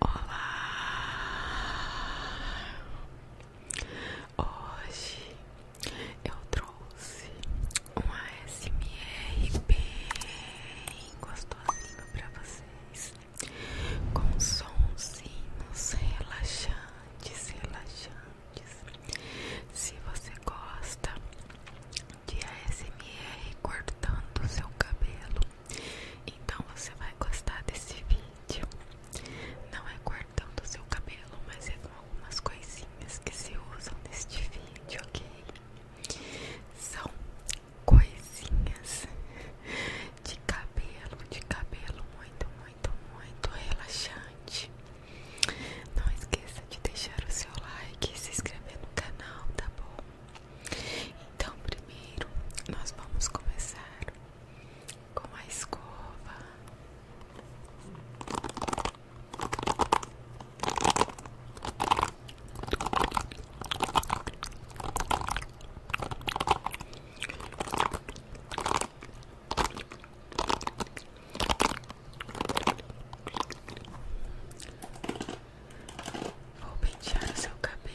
Olá! Hoje eu trouxe um ASMR bem gostosinho para vocês, com sonzinhos relaxantes, relaxantes. Se você gosta de ASMR cortando seu cabelo, então você vai gostar desse vídeo. Não é cortando seu cabelo, mas são é algumas coisinhas que se usam neste vídeo, ok? São coisinhas de cabelo, de cabelo muito, muito, muito relaxante. Não esqueça de deixar o seu like e se inscrever no canal, tá bom? Então, primeiro nós vamos começar com a escova. Vou pintar seu cabelo.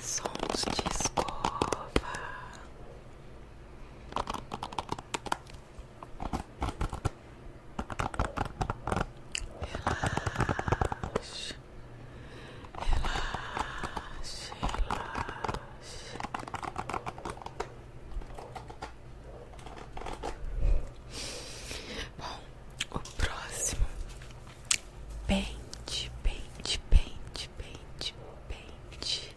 Sons de escova relaxe, relaxe. Bom, o próximo pente, pente, pente, pente, pente.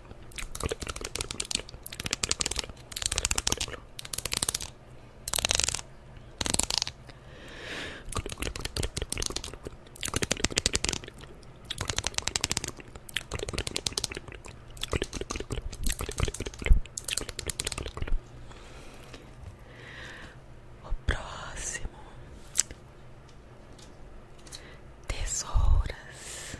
O próximo Tesouras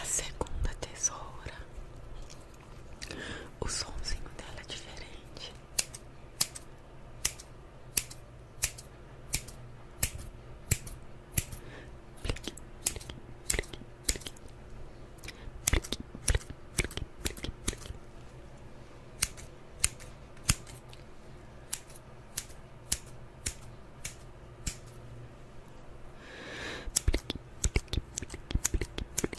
A segunda tesoura o somzinho dela é diferente. Plique, plique, plique, plique. Plique, plique, plique, plique, plique. Plique, plique, plique, plique, plique.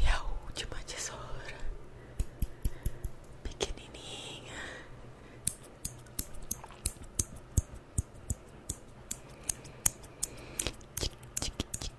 E a última tesoura, pequenininha. Tic, tic, tic,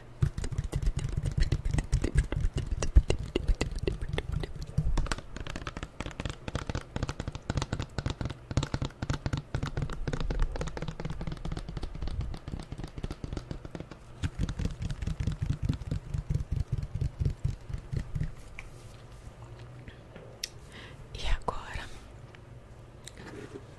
E agora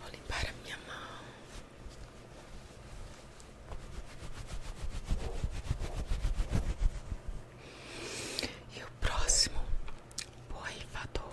Vou limpar a minha mão. E o próximo borrifador.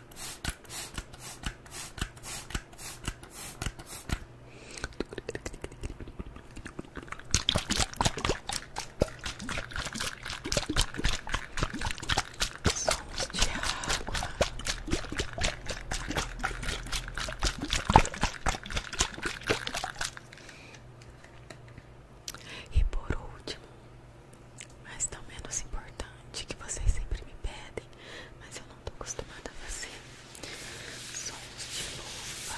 Sons de água. E por último, mas tão menos importante, que vocês sempre me pedem, mas eu estou acostumada a fazer sons de luva.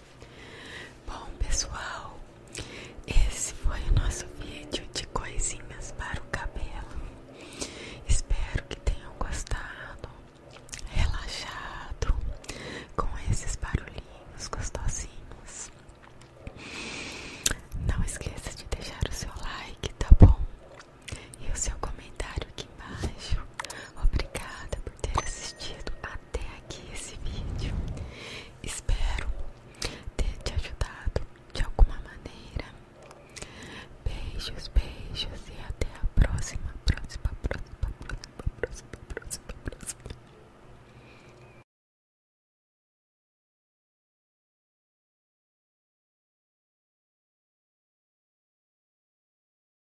Bom, pessoal, esse foi o nosso vídeo de coisinhas para o cabelo. Espero que tenham gostado, relaxado com esses barulhinhos gostosinhos. Não esqueça de deixar o seu like, tá bom? E o seu comentário aqui embaixo. Obrigada ter assistido até aqui esse vídeo. Espero ter te ajudado de alguma maneira. Beijos, beijos e até a próxima, próxima, próxima, próxima, próxima, próxima, próxima.